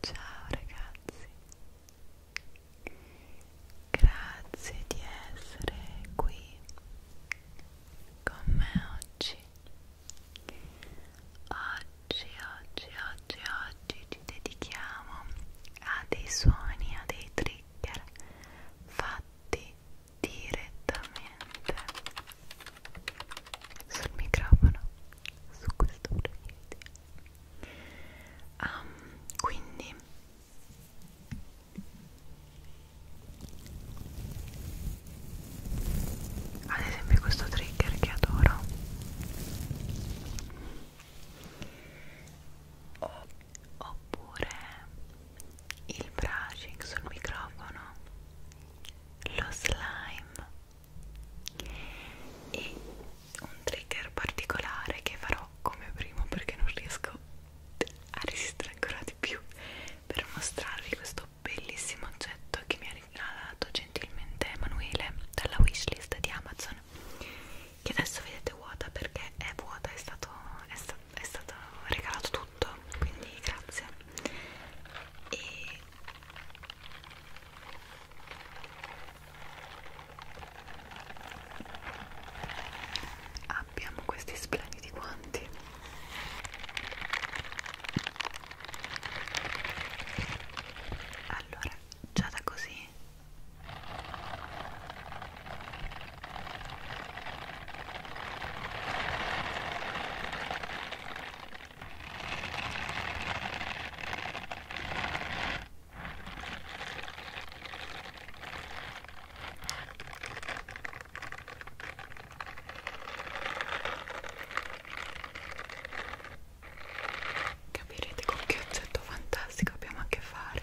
Ciao ragazzi, grazie di essere qui con me oggi. Oggi, oggi, oggi, oggi ci dedichiamo a dei suoni, a dei trigger fatti direttamente sul microfono su questo video um, quindi ad esempio questo trigger che adoro o, oppure il brushing sul microfono lo slime e un trigger particolare che farò come prima perché non riesco a resistere ancora di più per mostrarvi questo bellissimo oggetto che mi ha regalato gentilmente Emanuele dalla wishlist di Amazon che adesso vedete vuota perché è vuota, è stato, è sta, è stato regalato tutto quindi grazie e Abbiamo questi splendidi guanti allora già da così Capirete con che oggetto fantastico abbiamo a che fare.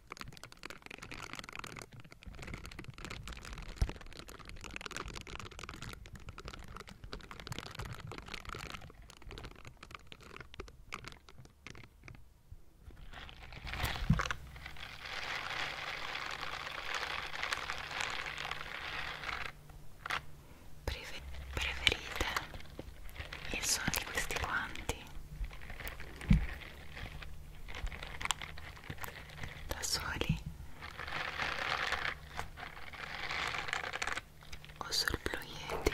Preferite il suono di questi guanti da tá Soli o sorpluiete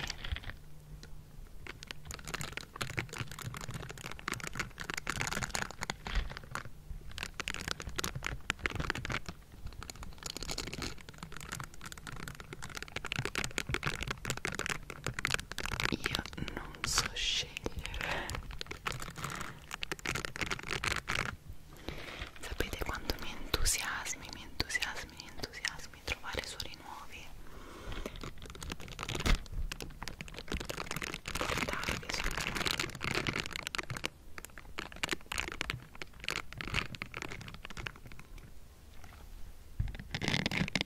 io non so scegliere sapete quanto mi entusiasmi mi entusiasmi mi entusiasmi trovare suoni nuovi guardarvi sono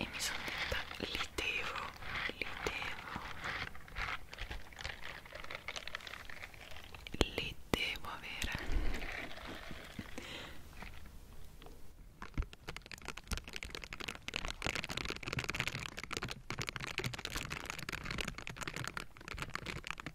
e mi sono detta li devo, li devo li devo avere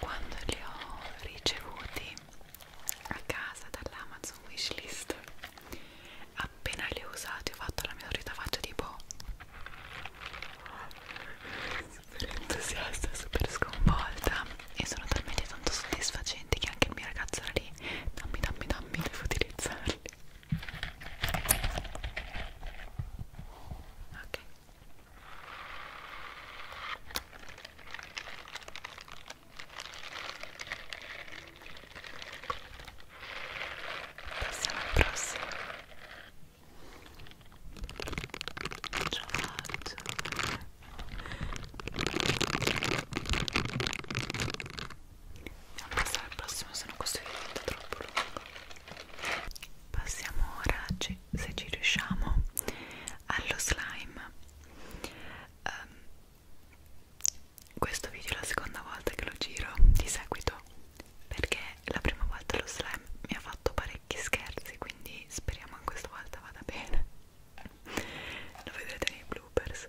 Quando li ho ricevuti a casa dall'Amazon Wishlist appena le ho usate ho fatto la mia solita faccia tipo super entusiasta, super sconvolta e sono talmente tanto soddisfacenti che anche il mio ragazzo era lì dammi dammi dammi devo utilizzarli ok Passiamo al prossimo. Ciao. Andiamo a passare al prossimo, se no questo diventa troppo lungo. Passiamo ora, se ci riusciamo, allo slime. Um, questo video è la seconda volta che lo giro di seguito perché la prima volta lo slime mi ha fatto parecchi scherzi quindi speriamo che questa volta vada bene lo vedrete nei bloopers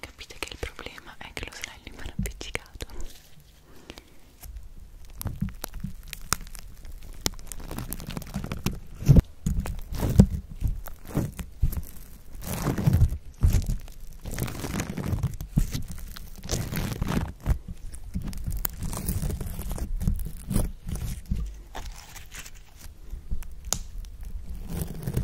Capite che il problema è che lo slime rimane appiccicato.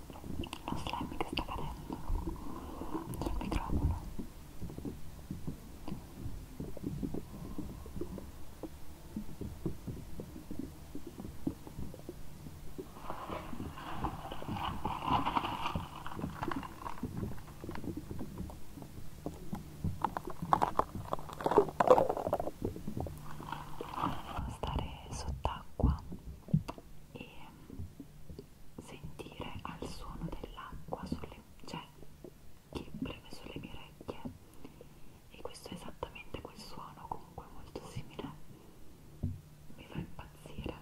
uno slime che sta cadendo sul microfono stare sott'acqua e sentire al suono dell'acqua sulle cioè, che preme sulle mie orecchie e questo è esattamente quel suono comunque molto simile mi fa impazzire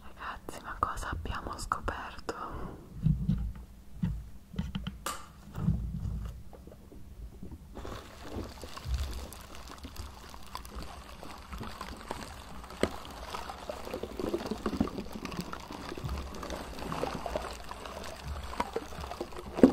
Ragazzi, ma cosa abbiamo scoperto?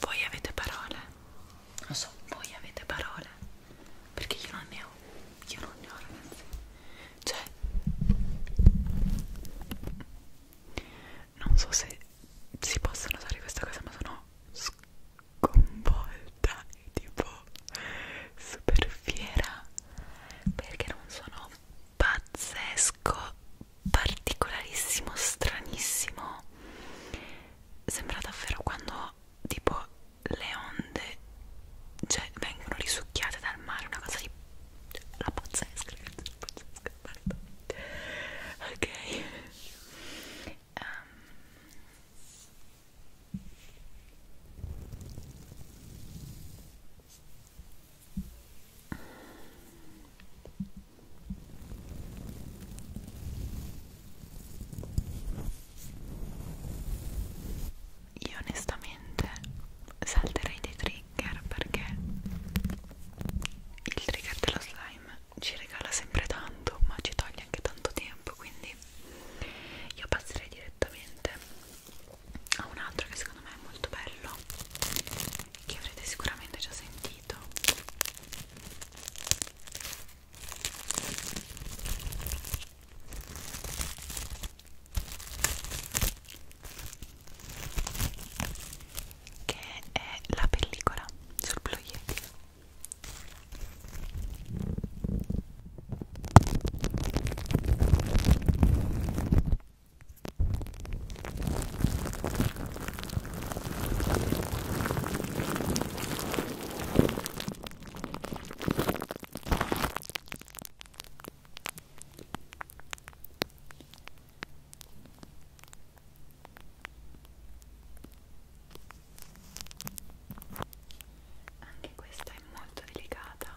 Voi avete parole? Lo so, voi avete parole. Perché io non ne ho. Io non ne ho, ragazzi. Cioè, non so se si possa notare questa cosa, ma sono sconvolta e tipo super fiera perché non sono pazzesco particolarissimo, stranissimo. Sembra davvero quando tipo le onde cioè, vengono risucchiate dal mare, una cosa di la pazzesca, ragazzi, la pazzesca, guarda. Ok. Um. Io onestamente salterei dei trigger perché il trigger dello slime ci regala sempre tanto ma ci toglie anche tanto tempo quindi io passerei direttamente a un altro che secondo me è molto bello che avrete sicuramente già sentito preferito che è la pellicola sul Blue Yeti anche questa è molto delicata.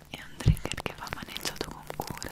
è un trigger che va maneggiato con cura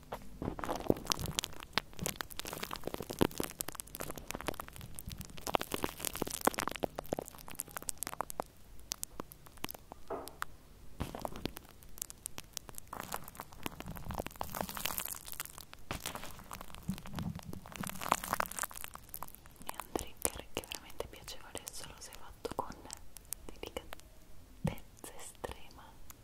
è un trigger che è veramente piacevole solo se fatto con delicatezza estrema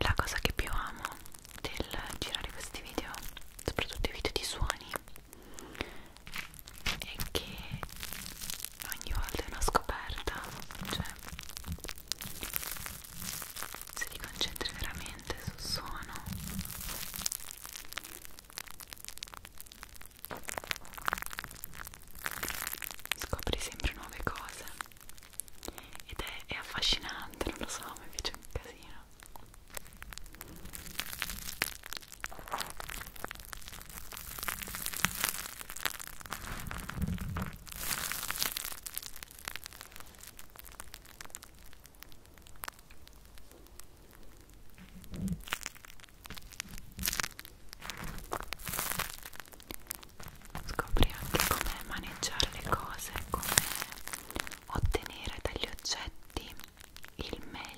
La cosa che più amo del girare questi video, soprattutto i video di suoni, è che ogni volta è una scoperta, cioè se ti concentri veramente sul suono scopri sempre nuove cose ed è, è affascinante, non lo so, mi piace un casino. Scopri anche come maneggiare le cose, come ottenere dagli oggetti il meglio.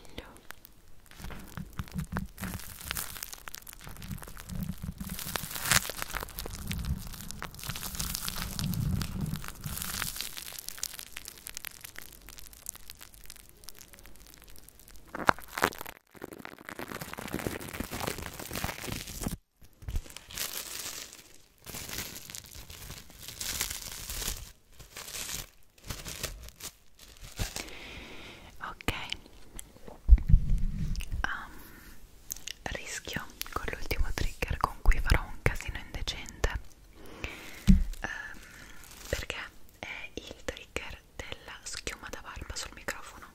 Ok, um, rischio con l'ultimo trigger con cui farò un casino indecente um, perché è il trigger della schiuma da barba sul microfono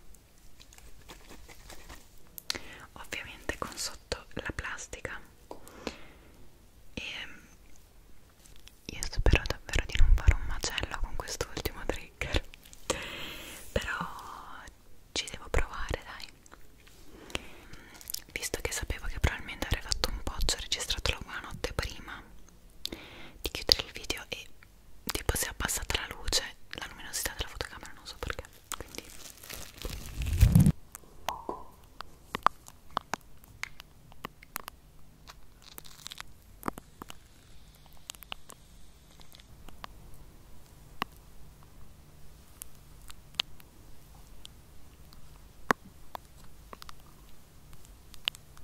ovviamente con sotto la plastica e ehm, io spero davvero di non fare un macello con quest'ultimo trigger però ci devo provare dai visto che sapevo che probabilmente avrei fatto un po' ho registrato la buona notte prima di chiudere il video e tipo si è abbassata la luce, la luminosità della fotocamera, non so perché, quindi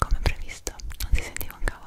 Come previsto, non si sentiva un cavolo.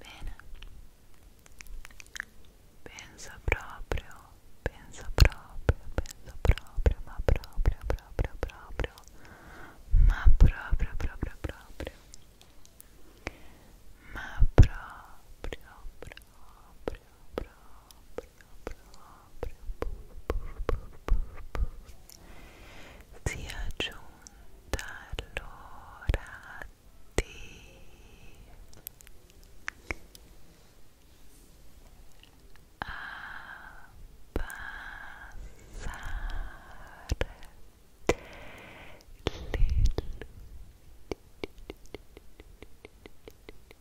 Bene, pensa proprio, pensa proprio, pensa proprio, ma proprio, proprio, proprio, ma proprio, proprio, proprio, ma proprio, proprio, proprio, proprio proprio si è giunta l'ora di abbassare le luci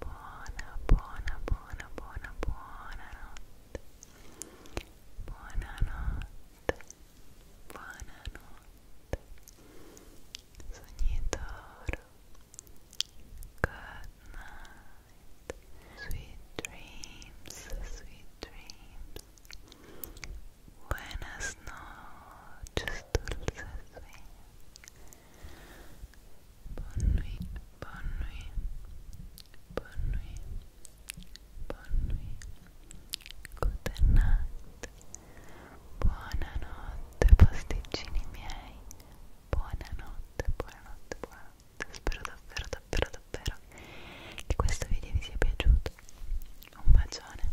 Buona, buona, buona, buona, buonanotte. Buonanotte. Buonanotte. Sognitoro. Good night. Sweet dreams, sweet dreams. Buenas noches, dulces sueños. Bonne nuit, bonne nuit, bonne nuit, bonne nuit. Good night. Buonanotte, pasticcini miei. Buonanotte, buonanotte, buonanotte. Spero davvero, davvero, davvero che questo video vi sia piaciuto. Un bacione.